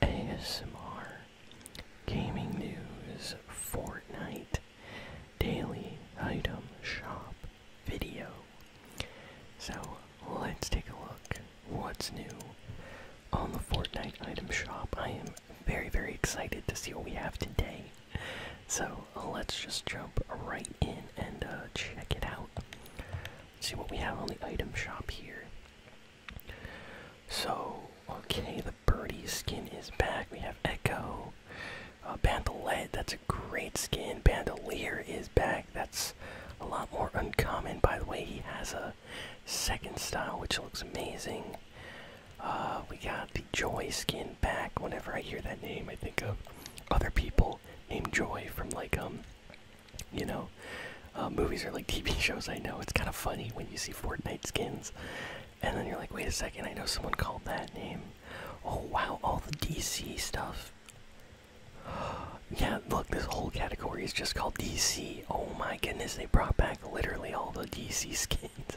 ASMR, gaming news, Fortnite, daily item shop video. So let's take a look what's new on the Fortnite item shop. I am very, very excited to see what we have today. So let's just jump right in and uh, check it out. see what we have on the item shop here. So, okay, the birdie skin is back. We have Echo. Uh, Bandolette, that's a great skin. Bandolier is back. That's a lot more uncommon. By the way, he has a second style, which looks amazing. Uh, we got the Joy skin back. Whenever I hear that name, I think of other people named Joy from like um you know, uh, movies are like TV shows. I know it's kind of funny when you see Fortnite skins, and then you're like, wait a second, I know someone called that name. Oh wow, all the DC stuff. yeah, look, this whole category is just called DC. Oh my goodness, they brought back literally all the DC skins.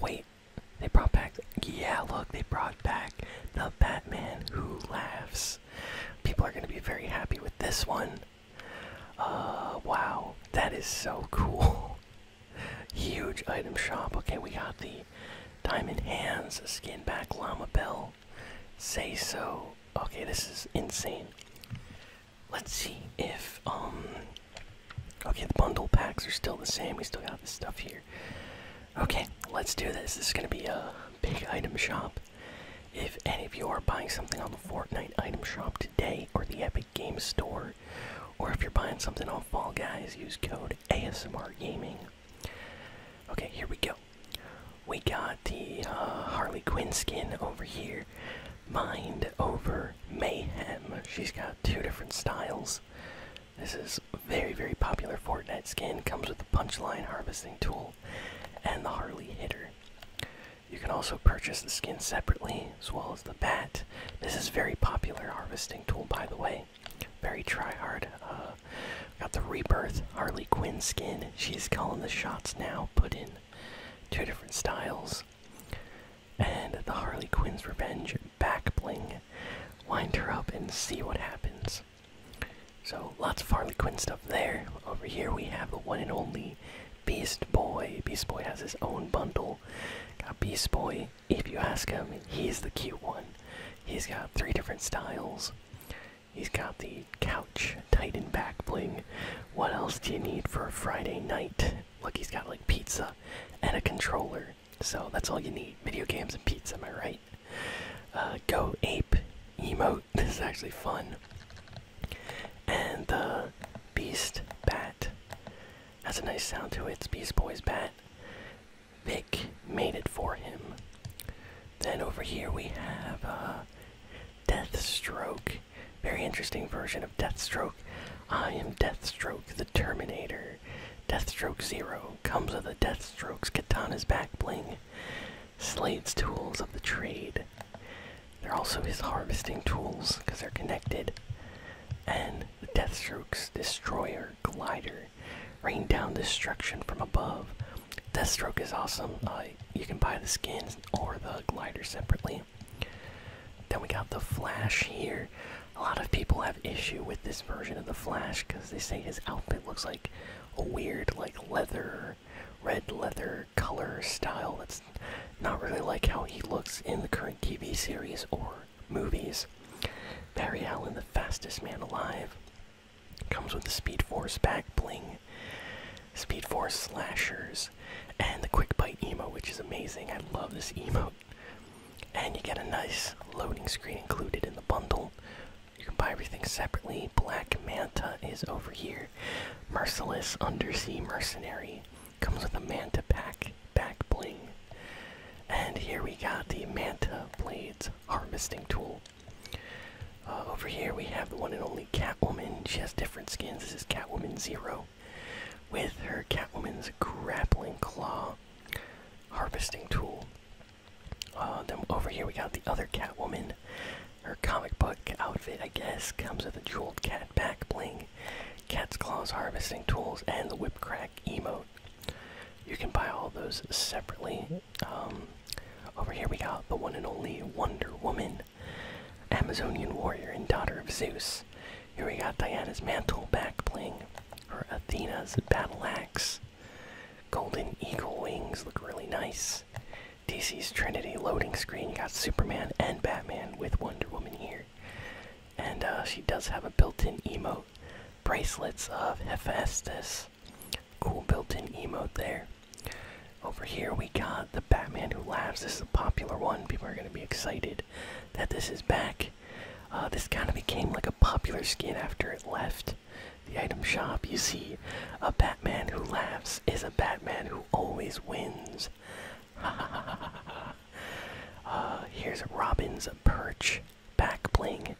wait, they brought back. Yeah, look, they brought back the Batman Who Laughs. People are going to be very happy with this one. Uh, wow, that is so cool. Huge item shop. Okay, we got the Diamond Hands skin back Llama Bell. Say so. Okay, this is insane. Let's see if, um, okay, the bundle packs are still the same. We still got this stuff here. Okay, let's do this. This is gonna be a big item shop. If any of you are buying something on the Fortnite item shop today or the Epic Games Store, or if you're buying something on Fall Guys, use code ASMR Gaming. Okay, here we go. We got the uh, Harley Quinn skin over here. Mind over Mayhem. She's got two different styles. This is very, very popular Fortnite skin. Comes with the punchline harvesting tool and the Harley hitter. You can also purchase the skin separately, as well as the bat. This is very popular harvesting tool, by the way. Very try hard. Uh, got the rebirth Harley Quinn skin. She's calling the shots now. Put in two different styles, and the Harley Quinn's revenge back bling. Wind her up and see what happens. So lots of Harley Quinn stuff there. Over here we have the one and only Beast Boy. Beast Boy has his own bundle. Got Beast Boy. If you ask him, he's the cute one. He's got three different styles. He's got the couch Titan back bling. What else do you need for a Friday night? Look, he's got like pizza and a controller. So that's all you need. Video games and pizza, am I right? Uh, go ape emote. This is actually fun. And the Beast Bat has a nice sound to it. It's Beast Boy's Bat. Vic made it for him. Then over here we have uh, Deathstroke. Very interesting version of Deathstroke. I am Deathstroke the Terminator. Deathstroke Zero comes with a Deathstroke's katana's back bling. Slade's tools of the trade. They're also his harvesting tools because they're connected. And the Deathstroke's destroyer glider. Rain down destruction from above. Deathstroke is awesome. Uh, you can buy the skins or the glider separately. Then we got the Flash here. A lot of people have issue with this version of the Flash because they say his outfit looks like a weird like leather red leather color style that's not really like how he looks in the current TV series or movies. Barry Allen, the fastest man alive, comes with the Speed Force back bling, Speed Force slashers, and the Quick Bite emo, which is amazing. I love this emo. And you get a nice loading screen included in the bundle. You can buy everything separately. Black Manta is over here. Merciless Undersea Mercenary comes with a Manta Pack back bling. And here we got the Manta Blades harvesting tool. Uh, over here we have the one and only Catwoman. She has different skins. This is Catwoman Zero with her Catwoman's grappling claw harvesting tool. Uh, then over here we got the other Catwoman. Her comic book outfit, I guess, comes with a jeweled cat back bling, cat's claws harvesting tools, and the whip crack emote. You can buy all those separately. Um, over here we got the one and only Wonder Woman, Amazonian warrior and daughter of Zeus. Here we got Diana's mantle back bling, or Athena's battle axe. Golden eagle wings look really nice. DC's Trinity loading screen. You got Superman and Batman with Wonder Woman here. And uh, she does have a built in emote. Bracelets of Hephaestus. Cool built in emote there. Over here we got the Batman Who Laughs. This is a popular one. People are going to be excited that this is back. Uh, this kind of became like a popular skin after it left the item shop. You see a bat. Man who laughs is a Batman who always wins. uh, here's Robin's perch back bling,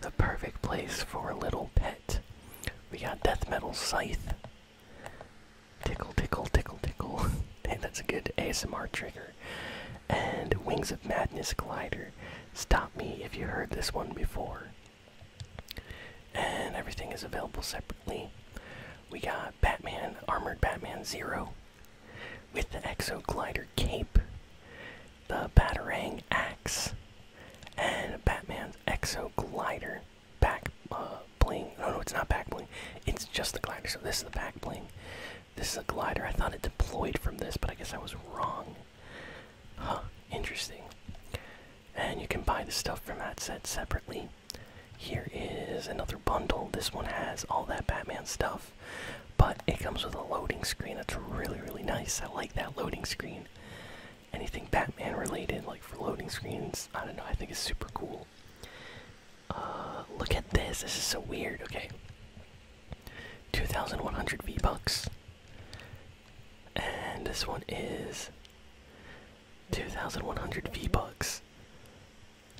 the perfect place for a little pet. We got death metal scythe. Tickle, tickle, tickle, tickle. hey, that's a good ASMR trigger. And Wings of Madness glider. Stop me if you heard this one before. And everything is available separately. We got Batman, Armored Batman Zero, with the Exo Glider Cape, the Batarang Axe, and Batman's Exo Glider back uh, bling. No, no, it's not back bling. It's just the glider. So this is the back bling. This is a glider. I thought it deployed from this, but I guess I was wrong. Huh, interesting. And you can buy the stuff from that set separately. Here is another bundle. This one has all that Batman stuff, but it comes with a loading screen that's really, really nice. I like that loading screen. Anything Batman related, like for loading screens, I don't know, I think it's super cool. Uh, look at this. This is so weird. Okay. 2100 V-Bucks. And this one is 2,100 V-Bucks.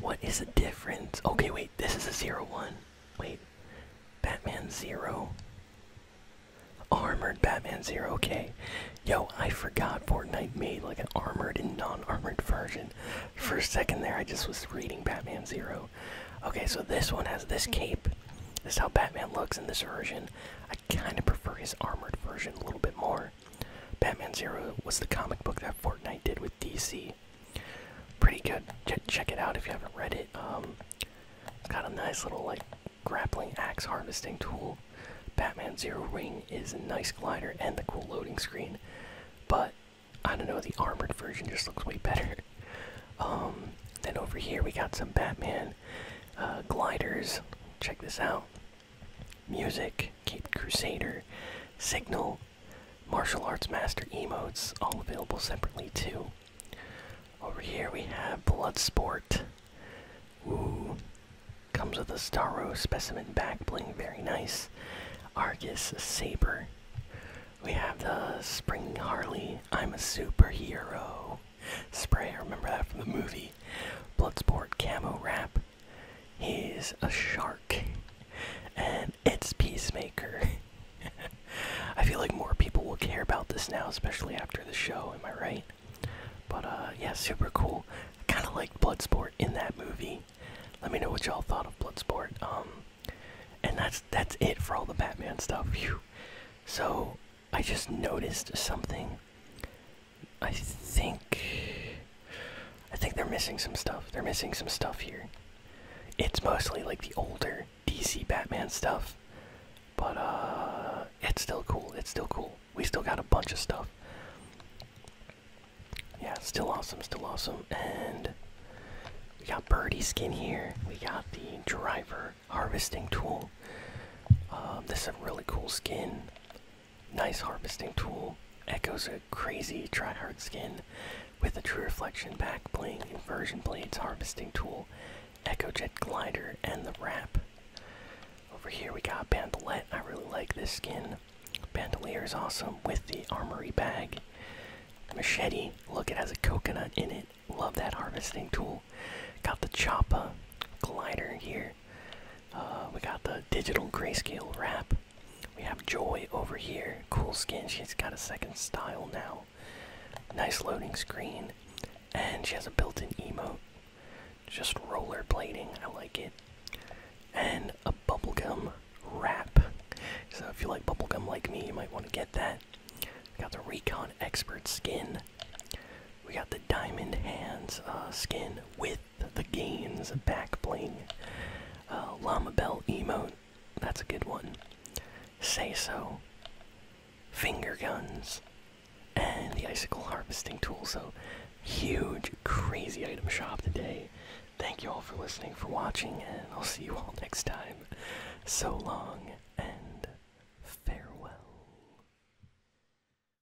What is the difference? Okay, wait, this is a zero one. Wait. Batman Zero. Armored Batman Zero, okay. Yo, I forgot Fortnite made like an armored and non-armored version. For a second there, I just was reading Batman Zero. Okay, so this one has this cape. This is how Batman looks in this version. I kind of prefer his armored version a little bit more. Batman Zero was the comic book that Fortnite did with DC. Pretty good. check it out if you haven't read it. Um, it's got a nice little like grappling axe harvesting tool. Batman Zero Ring is a nice glider and the cool loading screen, but I don't know the armored version just looks way better. Um, then over here we got some Batman uh, gliders. Check this out music, Cape Crusader, Signal, Martial Arts Master emotes, all available separately too. Over here we have Bloodsport. Ooh. Comes with a Starro specimen back bling, very nice. Argus Saber. We have the Spring Harley, I'm a superhero. Spray, remember that from the movie. Bloodsport Camo Wrap. He's a shark. And it's Peacemaker. I feel like more people will care about this now, especially after the show, am I right? But uh yeah, super cool. I kinda liked Bloodsport in that movie. Let me know what y'all thought of Bloodsport. Um and that's that's it for all the Batman stuff. So I just noticed something. I think I think they're missing some stuff. They're missing some stuff here. It's mostly like the older DC Batman stuff. But uh it's still cool. It's still cool. We still got a bunch of stuff. Yeah, still awesome, still awesome. And we got birdie skin here. We got the driver harvesting tool. Um, this is a really cool skin. Nice harvesting tool. Echoes a crazy tryhard skin with a true reflection back bling, inversion blades, harvesting tool, echo jet glider, and the wrap. Over here we got Bandolette. I really like this skin. Bandolier is awesome with the armory bag. Machete, look, it has a coconut in it. Love that harvesting tool. Got the choppa glider here. Uh, we got the digital grayscale wrap. We have Joy over here. Cool skin. She's got a second style now. Nice loading screen. And she has a built in emo. Just rollerblading. I like it. And a bubblegum wrap. So if you like bubblegum like me, you might want to get that. got the Recon Expert skin. We got the Diamond Hands uh, skin with the gains back bling. Uh, Llama Bell emo, that's a good one. Say so. Finger guns. And the icicle harvesting tool. So, huge, crazy item shop today. Thank you all for listening, for watching, and I'll see you all next time. So long and farewell.